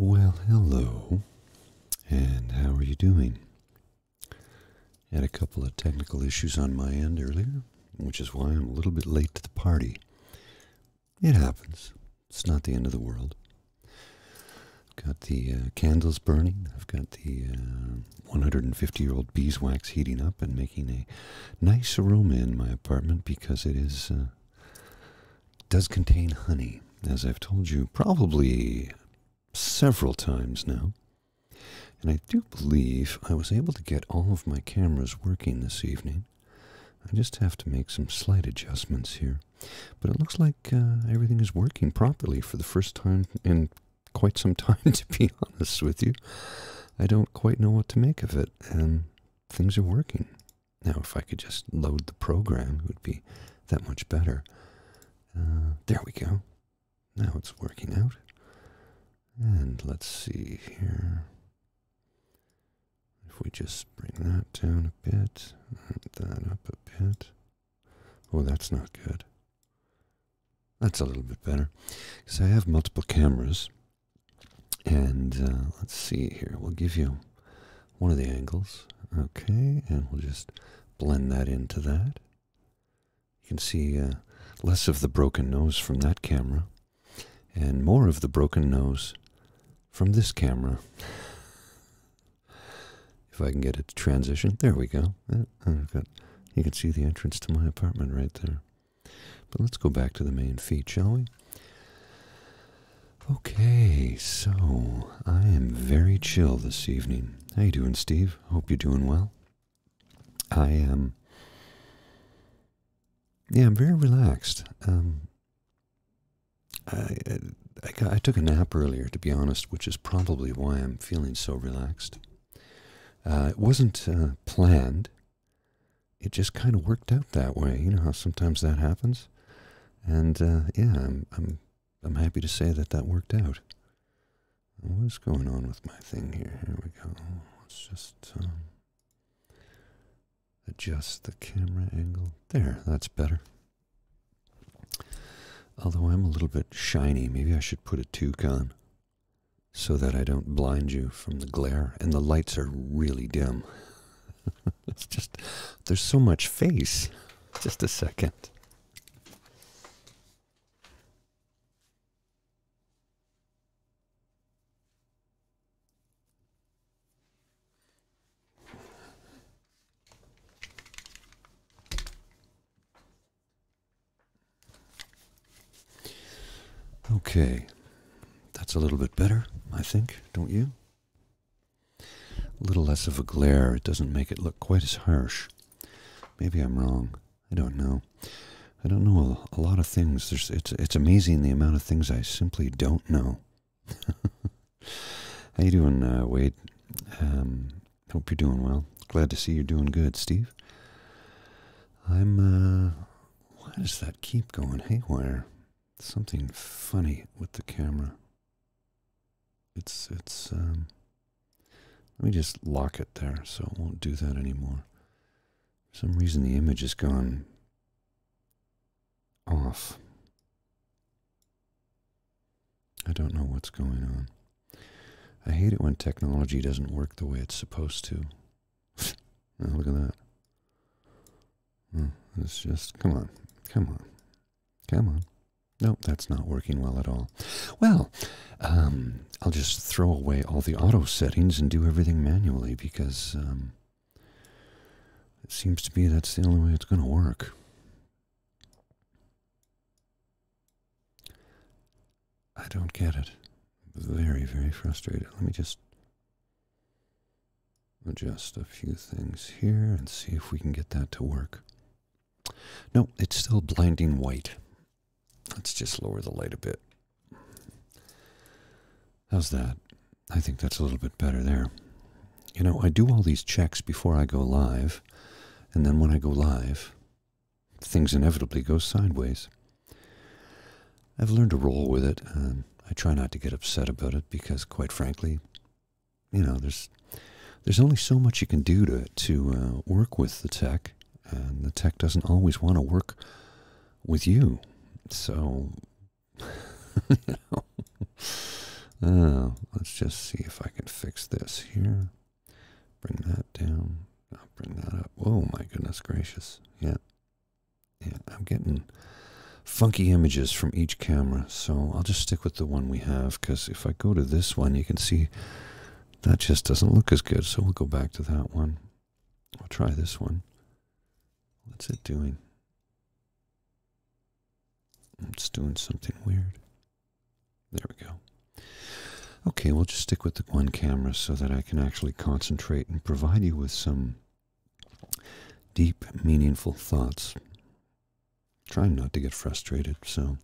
Well, hello, and how are you doing? Had a couple of technical issues on my end earlier, which is why I'm a little bit late to the party. It happens. It's not the end of the world. I've got the uh, candles burning. I've got the 150-year-old uh, beeswax heating up and making a nice aroma in my apartment because it is uh, does contain honey, as I've told you probably several times now. And I do believe I was able to get all of my cameras working this evening. I just have to make some slight adjustments here. But it looks like uh, everything is working properly for the first time in quite some time, to be honest with you. I don't quite know what to make of it, and things are working. Now, if I could just load the program, it would be that much better. Uh, there we go. Now it's working out. And let's see here. If we just bring that down a bit, that up a bit. Oh, that's not good. That's a little bit better. Because I have multiple cameras. And uh, let's see here. We'll give you one of the angles. Okay, and we'll just blend that into that. You can see uh, less of the broken nose from that camera and more of the broken nose from this camera. If I can get a transition, there we go. Uh, you can see the entrance to my apartment right there. But let's go back to the main feat, shall we? Okay, so I am very chill this evening. How you doing, Steve? Hope you're doing well. I am. Um, yeah, I'm very relaxed. Um, I, took a nap earlier, to be honest, which is probably why I'm feeling so relaxed. Uh, it wasn't uh, planned. It just kind of worked out that way. You know how sometimes that happens, and uh, yeah, I'm I'm I'm happy to say that that worked out. What's going on with my thing here? Here we go. Let's just um, adjust the camera angle. There, that's better. Although I'm a little bit shiny, maybe I should put a toque on so that I don't blind you from the glare. And the lights are really dim. it's just, there's so much face. Just a second. Okay, that's a little bit better, I think, don't you? A little less of a glare, it doesn't make it look quite as harsh. Maybe I'm wrong. I don't know. I don't know a, lot of things. it's it's amazing the amount of things I simply don't know. How you doing, uh, Wade? Um, hope you're doing well. Glad to see you're doing good, Steve. I'm. Uh, why does that keep going haywire? Something funny with the camera. It's it's um, let me just lock it there so it won't do that anymore. For some reason, the image has gone off. I don't know what's going on. I hate it when technology doesn't work the way it's supposed to. look at that. it's just, come on, come on, come on. No, that's not working well at all. Well, um, I'll just throw away all the auto settings and do everything manually because um, it seems to me that's the only way it's going to work. I don't get it. Very, very frustrated. Let me just adjust a few things here and see if we can get that to work. No, it's still blinding white. Let's just lower the light a bit. How's that? I think that's a little bit better there. You know, I do all these checks before I go live, and then when I go live, things inevitably go sideways. I've learned to roll with it, I try not to get upset about it because, quite frankly, you know, there's there's only so much you can do to to uh, work with the tech, and the tech doesn't always want to work with you. So, oh, let's just see if I can fix this here. Bring that down. bring that up. Oh my goodness gracious. Yeah. Yeah, I'm getting funky images from each camera, so I'll just stick with the one we have, because if I go to this one, you can see that just doesn't look as good, so we'll go back to that one. I'll try this one. What's it doing? It's doing something weird. There we go. Okay, we'll just stick with the one camera so that I can actually concentrate and provide you with some deep, meaningful thoughts. Trying not to get frustrated, so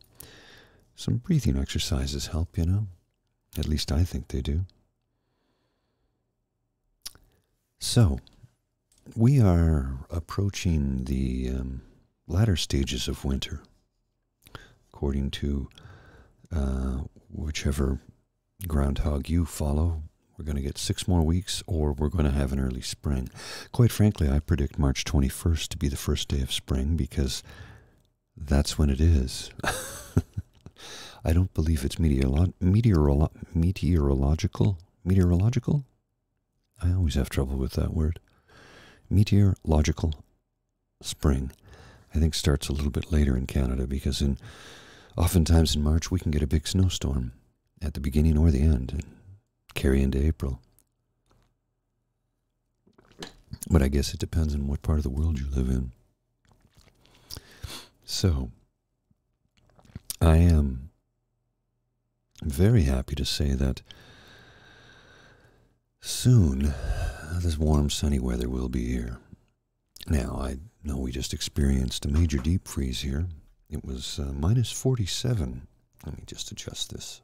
some breathing exercises help, you know. At least I think they do. So, we are approaching the um, latter stages of winter, according to uh, whichever groundhog you follow. We're going to get six more weeks, or we're going to have an early spring. Quite frankly, I predict March 21st to be the first day of spring because that's when it is. I don't believe it's meteorolo meteorolo meteorological. Meteorological? I always have trouble with that word. Meteorological spring, I think, starts a little bit later in Canada because in oftentimes in March we can get a big snowstorm at the beginning or the end and carry into April. But I guess it depends on what part of the world you live in. So, I am very happy to say that soon uh, this warm, sunny weather will be here. Now, I know we just experienced a major deep freeze here. It was uh, 47 let me just adjust this.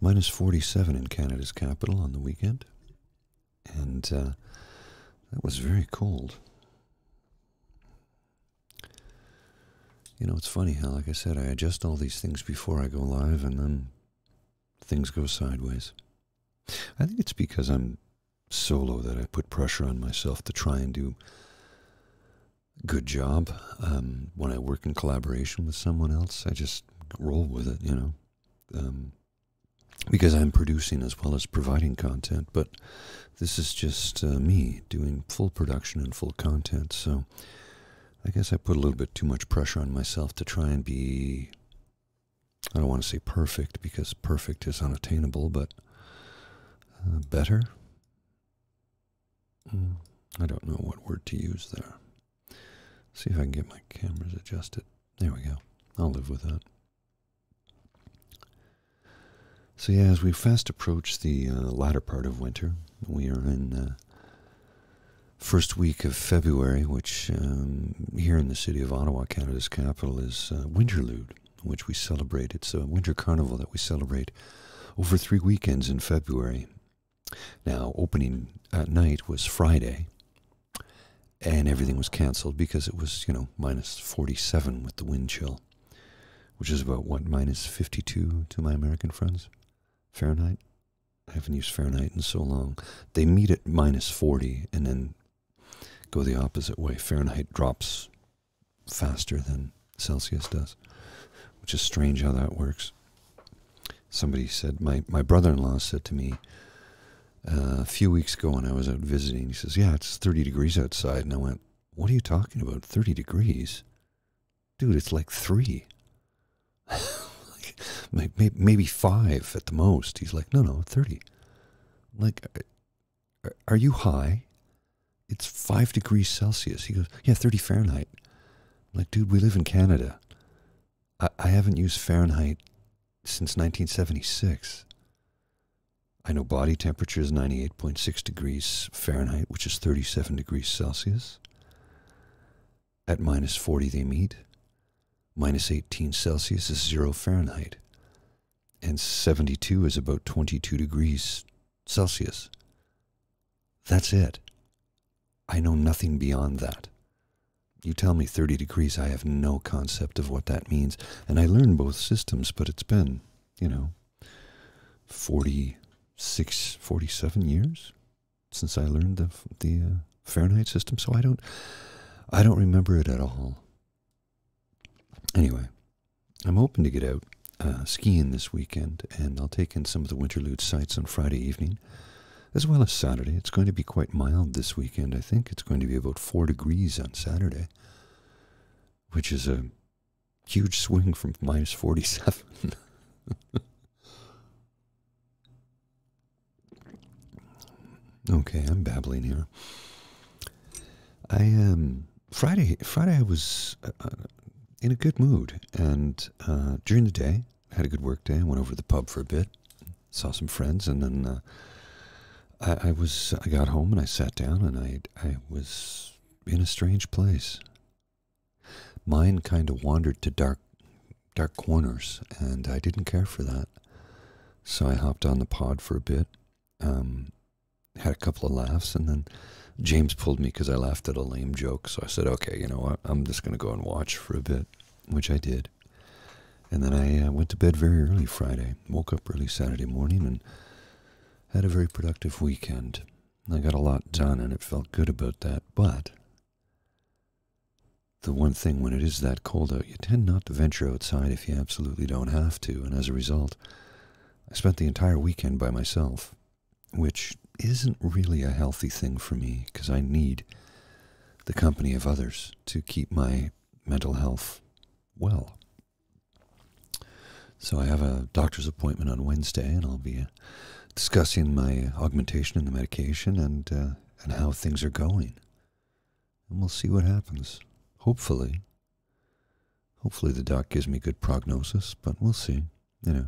Minus 47 in Canada's capital on the weekend. And uh, that was very cold. You know, it's funny how, like I said, I adjust all these things before I go live and then things go sideways. I think it's because I'm solo that I put pressure on myself to try and do a good job. Um, when I work in collaboration with someone else, I just roll with it, you know, um, because I'm producing as well as providing content. But this is just uh, me doing full production and full content. So I guess I put a little bit too much pressure on myself to try and be. I don't want to say perfect because perfect is unattainable, but uh, better. Hmm. I don't know what word to use there. See if I can get my cameras adjusted. There we go. I'll live with that. So yeah, as we fast approach the uh, latter part of winter, we are in uh, first week of February, which um, here in the city of Ottawa, Canada's capital, is uh, Winterlude, which we celebrate. It's a winter carnival that we celebrate over three weekends in February. Now, opening at uh, night was Friday, and everything was canceled because it was, you know, minus 47 with the wind chill, which is about what, minus 52 to my American friends? Fahrenheit? I haven't used Fahrenheit in so long. They meet at minus 40 and then go the opposite way. Fahrenheit drops faster than Celsius does, which is strange how that works somebody said, my, my brother in law said to me uh, a few weeks ago when I was out visiting, he says, Yeah, it's 30 degrees outside. And I went, What are you talking about? 30 degrees? Dude, it's like three. like, maybe five at the most. He's like, No, no, 30. Like, uh, are you high? It's five degrees Celsius. He goes, Yeah, 30 Fahrenheit like, dude, we live in Canada. I, I haven't used Fahrenheit since 1976. I know body temperature is 98.6 degrees Fahrenheit, which is 37 degrees Celsius. At minus 40, they meet. Minus 18 Celsius is 0 Fahrenheit. And 72 is about 22 degrees Celsius. That's it. I know nothing beyond that. You tell me 30 degrees, I have no concept of what that means. And I learned both systems, but it's been, you know, forty-six, forty-seven years since I learned the, the uh, Fahrenheit system, so I don't, I don't remember it at all. Anyway, I'm hoping to get out uh, skiing this weekend and I'll take in some of the Winterlude sites on Friday evening, as well as Saturday. It's going to be quite mild this weekend, I think. It's going to be about 4 degrees on Saturday, which is a huge swing from minus 47. okay, I'm babbling here. I um Friday Friday I was uh, in a good mood. And uh, during the day, had a good work day. I went over to the pub for a bit, saw some friends, and then uh, I, was I got home and I sat down and I I was in a strange place. Mine kind of wandered to dark dark corners, and I didn't care for that. So I hopped on the pod for a bit, um, had a couple of laughs, and then James pulled me because I laughed at a lame joke. So I said, okay, you know what? I'm just going to go and watch for a bit, which I did. And then I uh, went to bed very early Friday, woke up early Saturday morning, and had a very productive weekend. I got a lot done, and it felt good about that. But the one thing when it is that cold out, you tend not to venture outside if you absolutely don't have to. And as a result, I spent the entire weekend by myself which isn't really a healthy thing for me because I need the company of others to keep my mental health well. So I have a doctor's appointment on Wednesday, and I'll be discussing my augmentation and the medication and uh, and how things are going. And we'll see what happens. Hopefully, hopefully the doc gives me good prognosis, but we'll see. You know,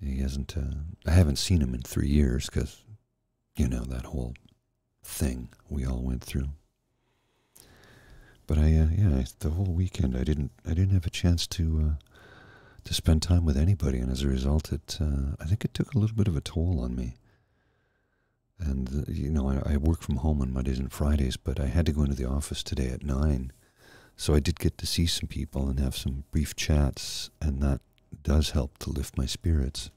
he hasn't. Uh, I haven't seen him in three years because, you know, that whole thing we all went through. But I, uh, yeah, the whole weekend I didn't. I didn't have a chance to uh, to spend time with anybody, and as a result, it. Uh, I think it took a little bit of a toll on me. And uh, you know, I, I work from home on Mondays and Fridays, but I had to go into the office today at nine so I did get to see some people and have some brief chats, and that does help to lift my spirits.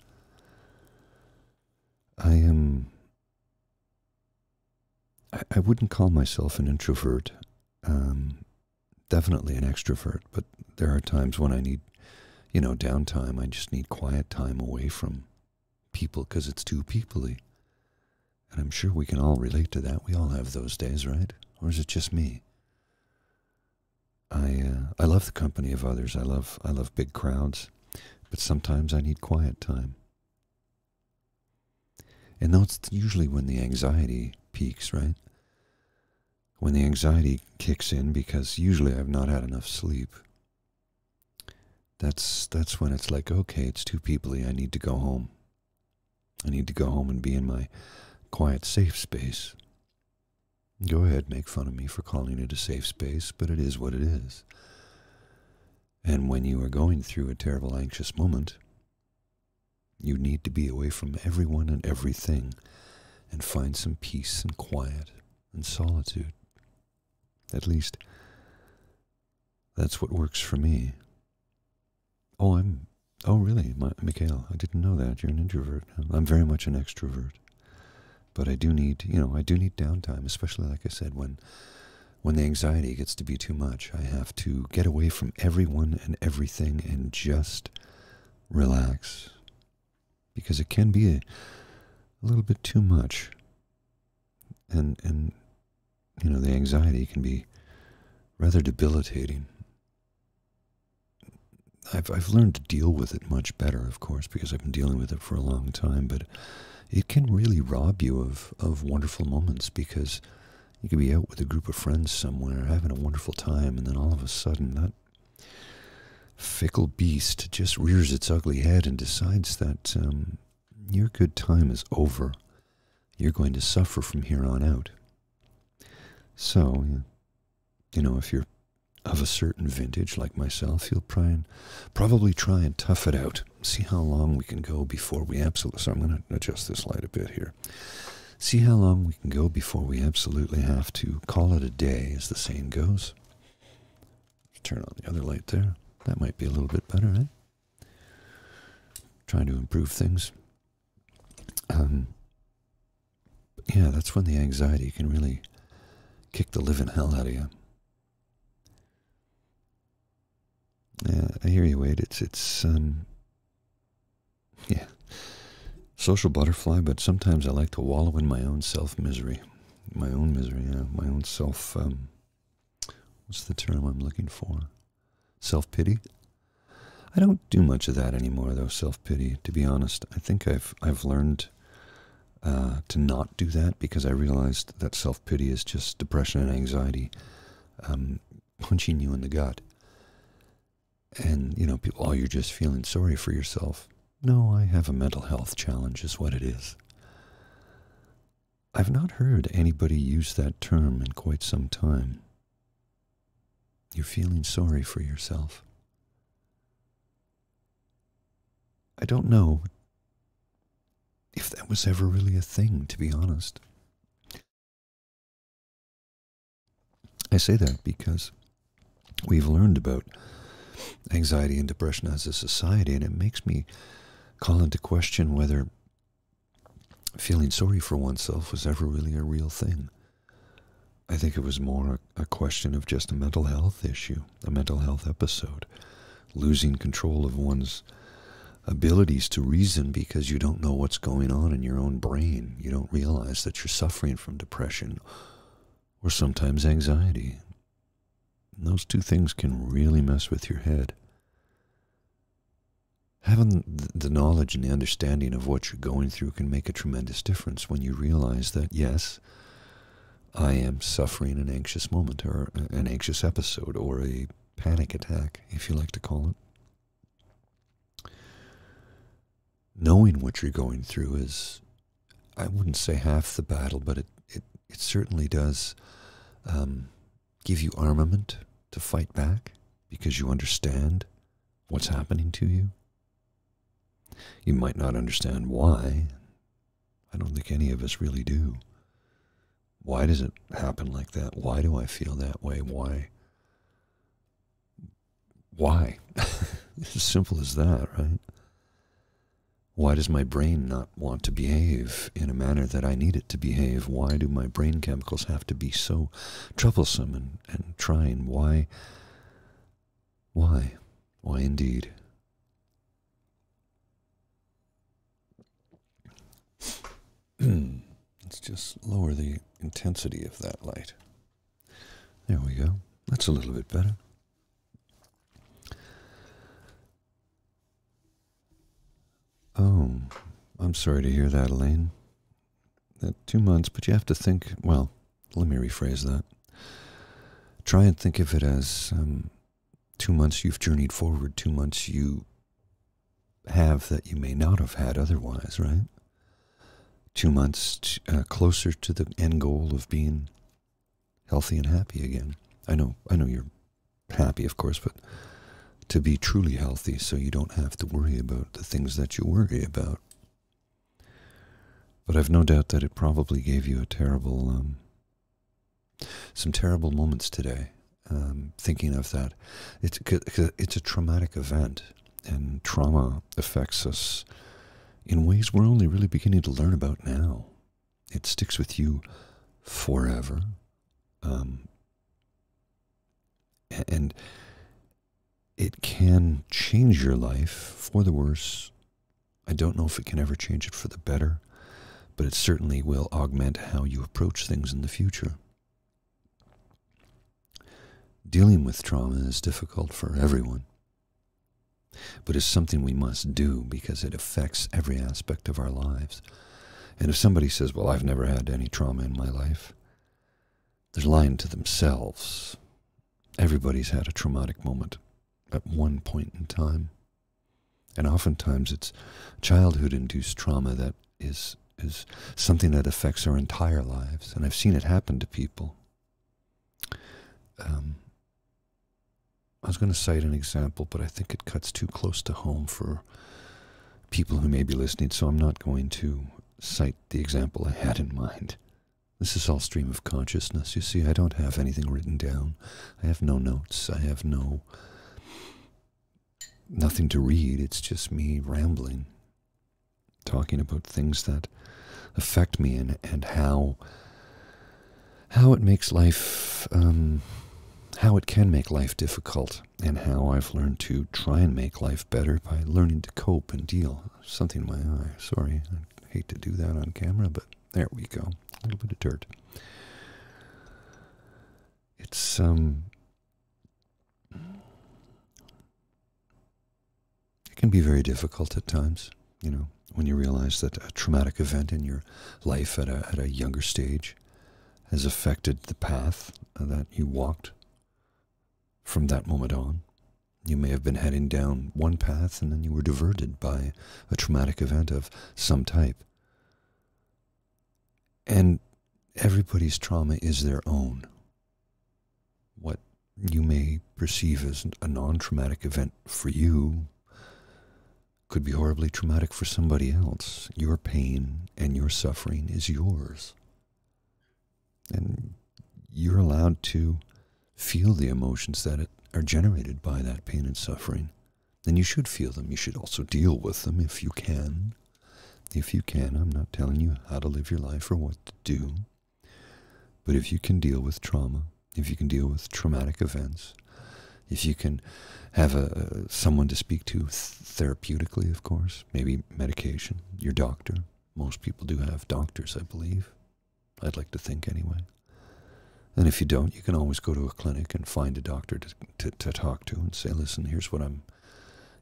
I am. I, wouldn't call myself an introvert. Um, definitely an extrovert, but there are times when I need, you know, downtime. I just need quiet time away from people because it's too peopley. And I'm sure we can all relate to that. We all have those days, right? Or is it just me? I uh, I love the company of others. I love I love big crowds, but sometimes I need quiet time. And that's usually when the anxiety peaks, right? When the anxiety kicks in because usually I've not had enough sleep. That's that's when it's like, okay, it's too peoply. I need to go home. I need to go home and be in my quiet, safe space. Go ahead, make fun of me for calling it a safe space, but it is what it is. And when you are going through a terrible, anxious moment, you need to be away from everyone and everything and find some peace and quiet and solitude. At least, that's what works for me. Oh, I'm. Oh, really, My, Mikhail? I didn't know that. You're an introvert. I'm very much an extrovert, but I do need, you know, I do need downtime, especially like I said when, when the anxiety gets to be too much. I have to get away from everyone and everything and just relax, because it can be a little bit too much. And and you know, the anxiety can be rather debilitating. I've, I've learned to deal with it much better, of course, because I've been dealing with it for a long time, but it can really rob you of, of wonderful moments because you can be out with a group of friends somewhere having a wonderful time, and then all of a sudden that fickle beast just rears its ugly head and decides that um, your good time is over you're going to suffer from here on out. So, you know, if you're of a certain vintage like myself, you'll try and probably try and tough it out. See how long we can go before we absolutely. So I'm going to adjust this light a bit here. See how long we can go before we absolutely have to call it a day, as the saying goes. Turn on the other light there. That might be a little bit better, eh? trying to improve things. Um, yeah, that's when the anxiety can really kick the living hell out of you. I hear you, Wade. It's it's um, yeah, social butterfly. But sometimes I like to wallow in my own self misery, my own misery. Yeah, my own self. Um, what's the term I'm looking for? self pity. I don't do much of that anymore, though. Self pity, to be honest. I think I've I've learned uh, to not do that because I realized that self pity is just depression and anxiety um, punching you in the gut. And you know, people, oh, you're just feeling sorry for yourself. No, I have a mental health challenge, is what it is. I've not heard anybody use that term in quite some time. You're feeling sorry for yourself. I don't know if that was ever really a thing, to be honest. I say that because we've learned about anxiety and depression as a society, and it makes me call into question whether feeling sorry for oneself was ever really a real thing. I think it was more a, question of just a mental health issue, a mental health episode, losing control of one's abilities to reason because you don't know what's going on in your own brain. You don't realize that you're suffering from depression or sometimes anxiety. those two things can really mess with your head. Having the knowledge and the understanding of what you're going through can make a tremendous difference when you realize that, yes, I am suffering an anxious moment or an anxious episode or a panic attack, if you like to call it. Knowing what you're going through is, I wouldn't say half the battle, but it, it, certainly does um, give you armament to fight back because you understand what's happening to you. You might not understand why. I don't think any of us really do. Why does it happen like that? Why do I feel that way? Why? Why? it's as simple as that, right? Why does my brain not want to behave? in a manner that I need it to behave? Why do my brain chemicals have to be so troublesome and, and trying? Why? Why? Why indeed? Let's just lower the intensity of that light. There we go. That's a little bit better. Oh, I'm sorry to hear that, Elaine. two months, but you have to think, well, let me rephrase that. Try and think of it as um, two months you've journeyed forward, two months you have that you may not have had otherwise, right? Two months uh, closer to the end goal of being healthy and happy again. I know, I know you're happy, of course, but to be truly healthy so you don't have to worry about the things that you worry about. But I've no doubt that it probably gave you a terrible, um, some terrible moments today. Um, thinking of that, it's it's a traumatic event, and trauma affects us in ways we're only really beginning to learn about now. It sticks with you forever. Um, and it can change your life for the worse. I don't know if it can ever change it for the better, but it certainly will augment how you approach things in the future. Dealing with trauma is difficult for everyone, but is something we must do because it affects every aspect of our lives. And if somebody says, Well, I've never had any trauma in my life, they're lying to themselves. Everybody's had a traumatic moment at one point in time. And oftentimes it's childhood induced trauma that is, is something that affects our entire lives. And I've seen it happen to people. Um, I was going to cite an example, but I think it cuts too close to home for people who may be listening, so I'm not going to cite the example I had in mind. This is all stream of consciousness. You see, I don't have anything written down. I have no notes. I have no nothing to read. It's just me rambling, talking about things that affect me and, and how how it makes life um, how it can make life difficult and how I've learned to try and make life better by learning to cope and deal. Something in my eye. Sorry, I hate to do that on camera, but there we go. A little bit of dirt. It's um it can be very difficult at times, you know, when you realize that a traumatic event in your life at a at a younger stage has affected the path that you walked from that moment on. You may have been heading down one path and then you were diverted by a traumatic event of some type. And everybody's trauma is their own. What you may perceive as a non traumatic event for you could be horribly traumatic for somebody else. Your pain and your suffering is yours. And you're allowed to feel the emotions that are generated by that pain and suffering. Then you should feel them. You should also deal with them if you can. If you can, I'm not telling you how to live your life or what to do. But if you can deal with trauma, if you can deal with traumatic events, if you can have a, someone to speak to therapeutically, of course, maybe medication, your doctor. Most people do have doctors, I believe. I'd like to think anyway. And if you don't, you can always go to a clinic and find a doctor to, to, to talk to and say, listen, here's what I'm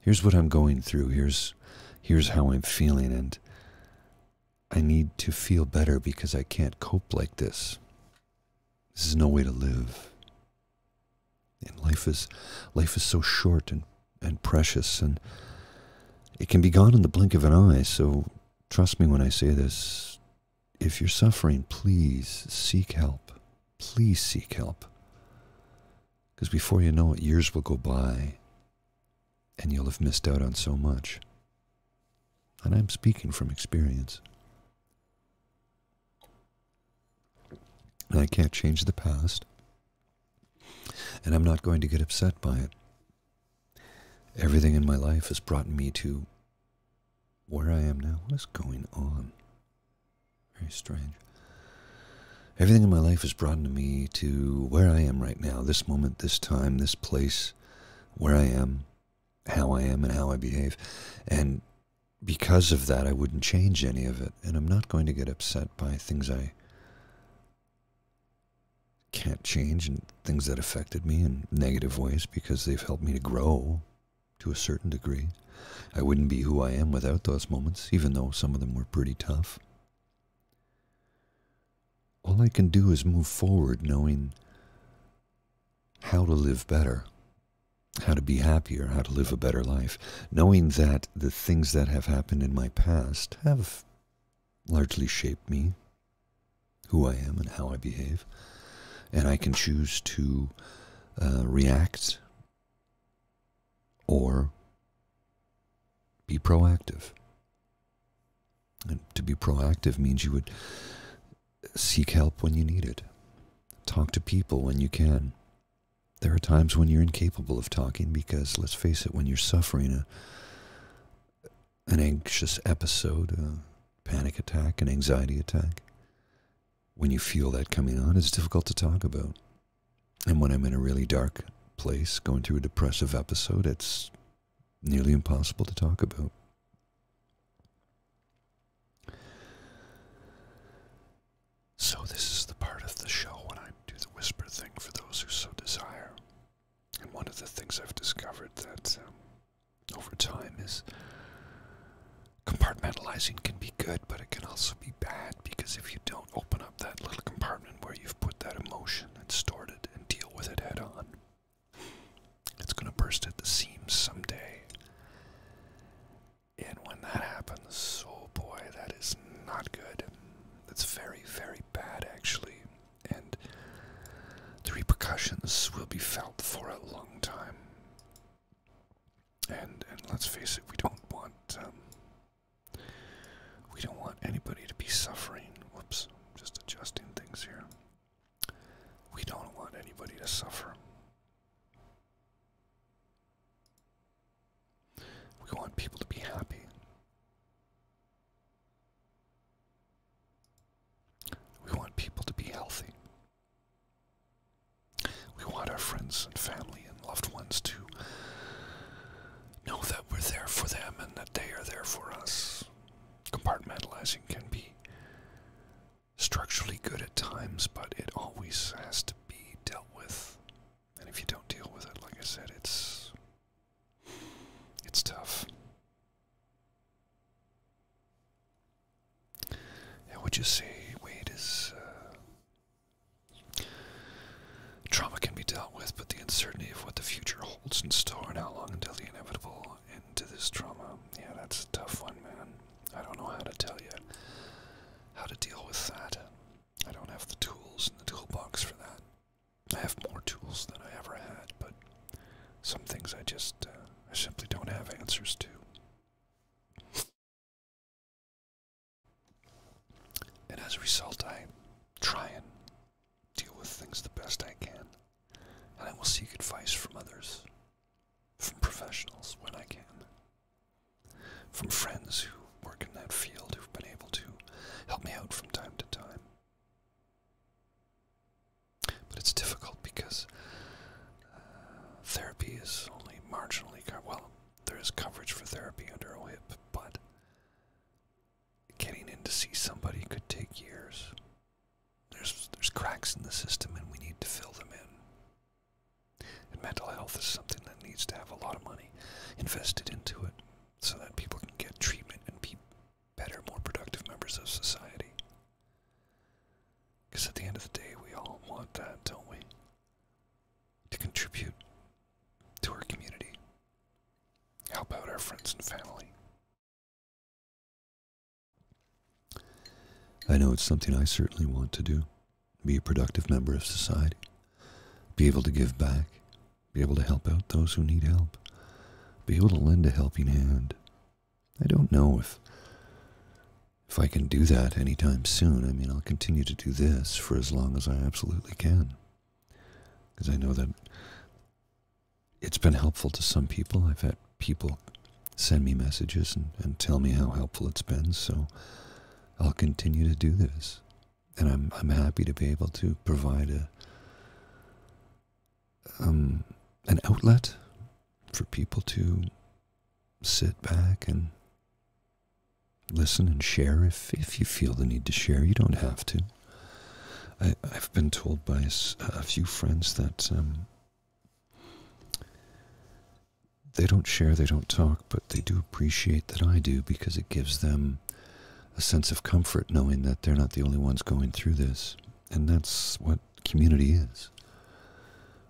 here's what I'm going through. Here's here's how I'm feeling and I need to feel better because I can't cope like this. This is no way to live. And life is life is so short and, and precious and it can be gone in the blink of an eye, so trust me when I say this. If you're suffering, please seek help. Please seek help. Because before you know it, years will go by and you'll have missed out on so much. And I'm speaking from experience. I can't change the past, and I'm not going to get upset by it. Everything in my life has brought me to where I am now. What is going on? Very strange. Everything in my life has brought me to where I am right now, this moment, this time, this place, where I am, how I am, and how I behave. And because of that, I wouldn't change any of it. And I'm not going to get upset by things I can't change and things that affected me in negative ways because they've helped me to grow to a certain degree. I wouldn't be who I am without those moments, even though some of them were pretty tough. All I can do is move forward knowing how to live better how to be happier, how to live a better life, knowing that the things that have happened in my past have largely shaped me, who I am, and how I behave. And I can choose to uh, react or be proactive. And to be proactive means you would Seek help when you need it. Talk to people when you can. There are times when you're incapable of talking because, let's face it, when you're suffering a, an anxious episode, a panic attack, an anxiety attack, when you feel that coming on, it's difficult to talk about. And when I'm in a really dark place, going through a depressive episode, it's nearly impossible to talk about. So, this is the part of the show when I do the whisper thing for those who so desire. And one of the things I've discovered that um, over time is compartmentalizing can be good, but it can also be bad because if you don't open up that little compartment where you've put that emotion and stored it and deal with it head on, it's going to burst at the seams someday. And when that happens, oh boy, that is not good. That's very, very bad, actually. And the repercussions will be felt for a long time. And and let's face it, we don't want um, we don't want anybody to be suffering. Whoops, just adjusting things here. We don't want anybody to suffer. We want people to be happy. We want people to be healthy. We want our friends and family and loved ones to know that we're there for them and that they are there for us. Compartmentalizing can be structurally good at times, but it always has to be dealt with. And if you don't deal with it, like I said, it's it's tough. And would you say Wade is uh, trauma can be dealt with, but the uncertainty of what the future holds in store and how long until the inevitable end to this trauma yeah, that's a tough one, man. I don't know how to tell you how to deal with that. I don't have the tools in the toolbox for that. I have more tools than I ever had, but some things I just, uh, I simply don't have answers to. And as a result, I try and deal with things the best I can. And I will seek advice from others from professionals when I can, from friends who work in that field who've been able to help me out from time to time. But it's difficult because uh, therapy is only marginally covered. Well, there is coverage for therapy under OHIP, but getting in to see somebody could take years. There's, there's cracks in the system and we need to fill them in. mental health is something that needs to have a lot of money invested into it so that people can get treatment and be better, more productive members of society. Because at the end of the day, we all want that, don't we? To contribute to our community. help out our friends and family? I know it's something I certainly want to do be a productive member of society, be able to give back, be able to help out those who need help, be able to lend a helping hand. I don't know if if I can do that anytime soon. I mean, I'll continue to do this for as long as I absolutely can. Because I know that it's been helpful to some people. I've had people send me messages and, tell me how helpful it's been. So I'll continue to do this. And I'm, happy to be able to provide um, an outlet for people to sit back and listen and share if, you feel the need to share. You don't have to. I, have been told by a, few friends that um, they don't share, they don't talk, but they do appreciate that I do because it gives them a sense of comfort knowing that they're not the only ones going through this. And that's what community is.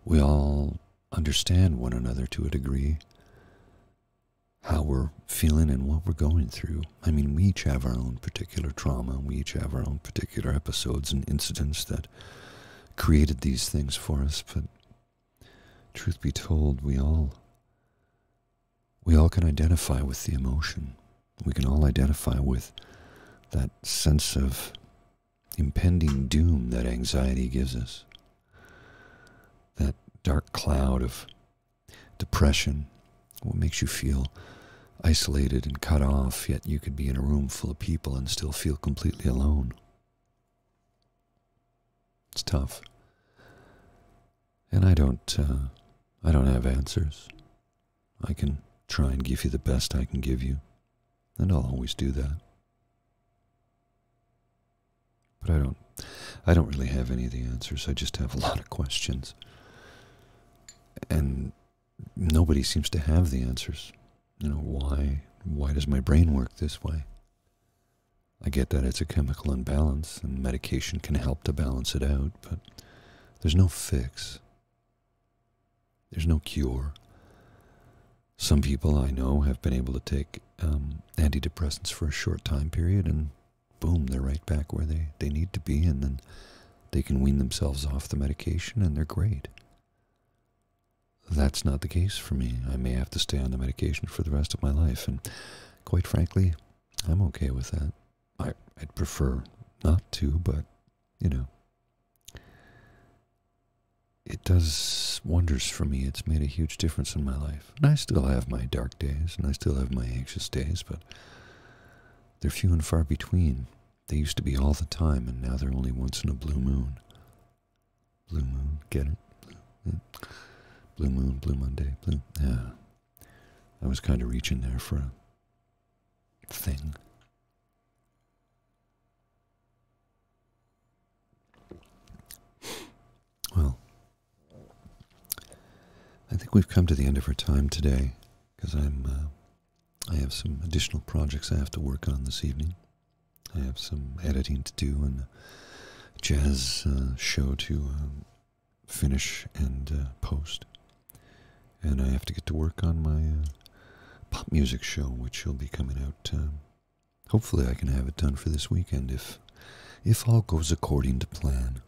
We all understand one another to a degree, how we're feeling and what we're going through. I mean, we each have our own particular trauma, we each have our own particular episodes and incidents that created these things for us, but truth be told, we all we all can identify with the emotion. We can all identify with that sense of impending doom that anxiety gives us. That dark cloud of depression what makes you feel isolated and cut off, yet you could be in a room full of people and still feel completely alone? It's tough. And I don't, uh, I don't have answers. I can try and give you the best I can give you, and I'll always do that. But I don't, I don't really have any of the answers. I just have a lot of questions, and nobody seems to have the answers. You know, why why does my brain work this way? I get that it's a chemical imbalance and medication can help to balance it out, but there's no fix. There's no cure. Some people I know have been able to take um, antidepressants for a short time period and boom, they're right back where they, they need to be and then they can wean themselves off the medication and they're great. That's not the case for me. I may have to stay on the medication for the rest of my life, and quite frankly, I'm okay with that. I, would prefer not to, but, you know, it does wonders for me. It's made a huge difference in my life. And I still have my dark days, and I still have my anxious days, but they're few and far between. They used to be all the time, and now they're only once in a blue moon. Blue moon, get it? Blue, blue moon, blue Monday, blue. Yeah. I was kind of reaching there for a thing. Well, I think we've come to the end of our time today because I'm uh, I have some additional projects I have to work on this evening. I have some editing to do and a jazz uh, show to um, finish and uh, post. And I have to get to work on my uh, pop music show, which will be coming out. Um, hopefully, I can have it done for this weekend if, if all goes according to plan.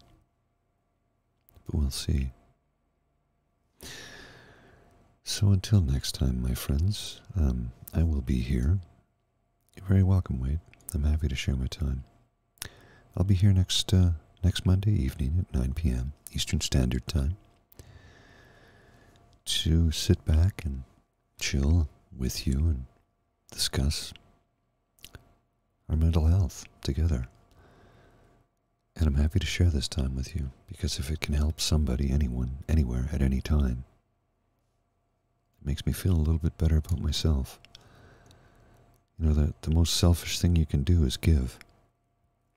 But we'll see. So until next time, my friends, um, I will be here. You're very welcome, Wade. I'm happy to share my time. I'll be here next uh, next Monday evening at 9 p.m. Eastern Standard Time to sit back and chill with you and discuss our mental health together. And I'm happy to share this time with you because if it can help somebody, anyone, anywhere, at any time, it makes me feel a little bit better about myself. You know, that the most selfish thing you can do is give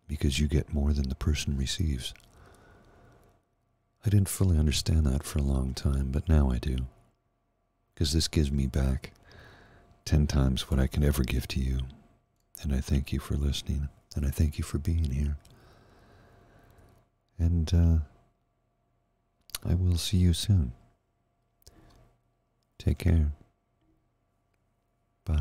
because you get more than the person receives. I didn't fully understand that for a long time, but now I do. Because this gives me back ten times what I can ever give to you, and I thank you for listening. And I thank you for being here. And uh, I will see you soon. Take care. Bye.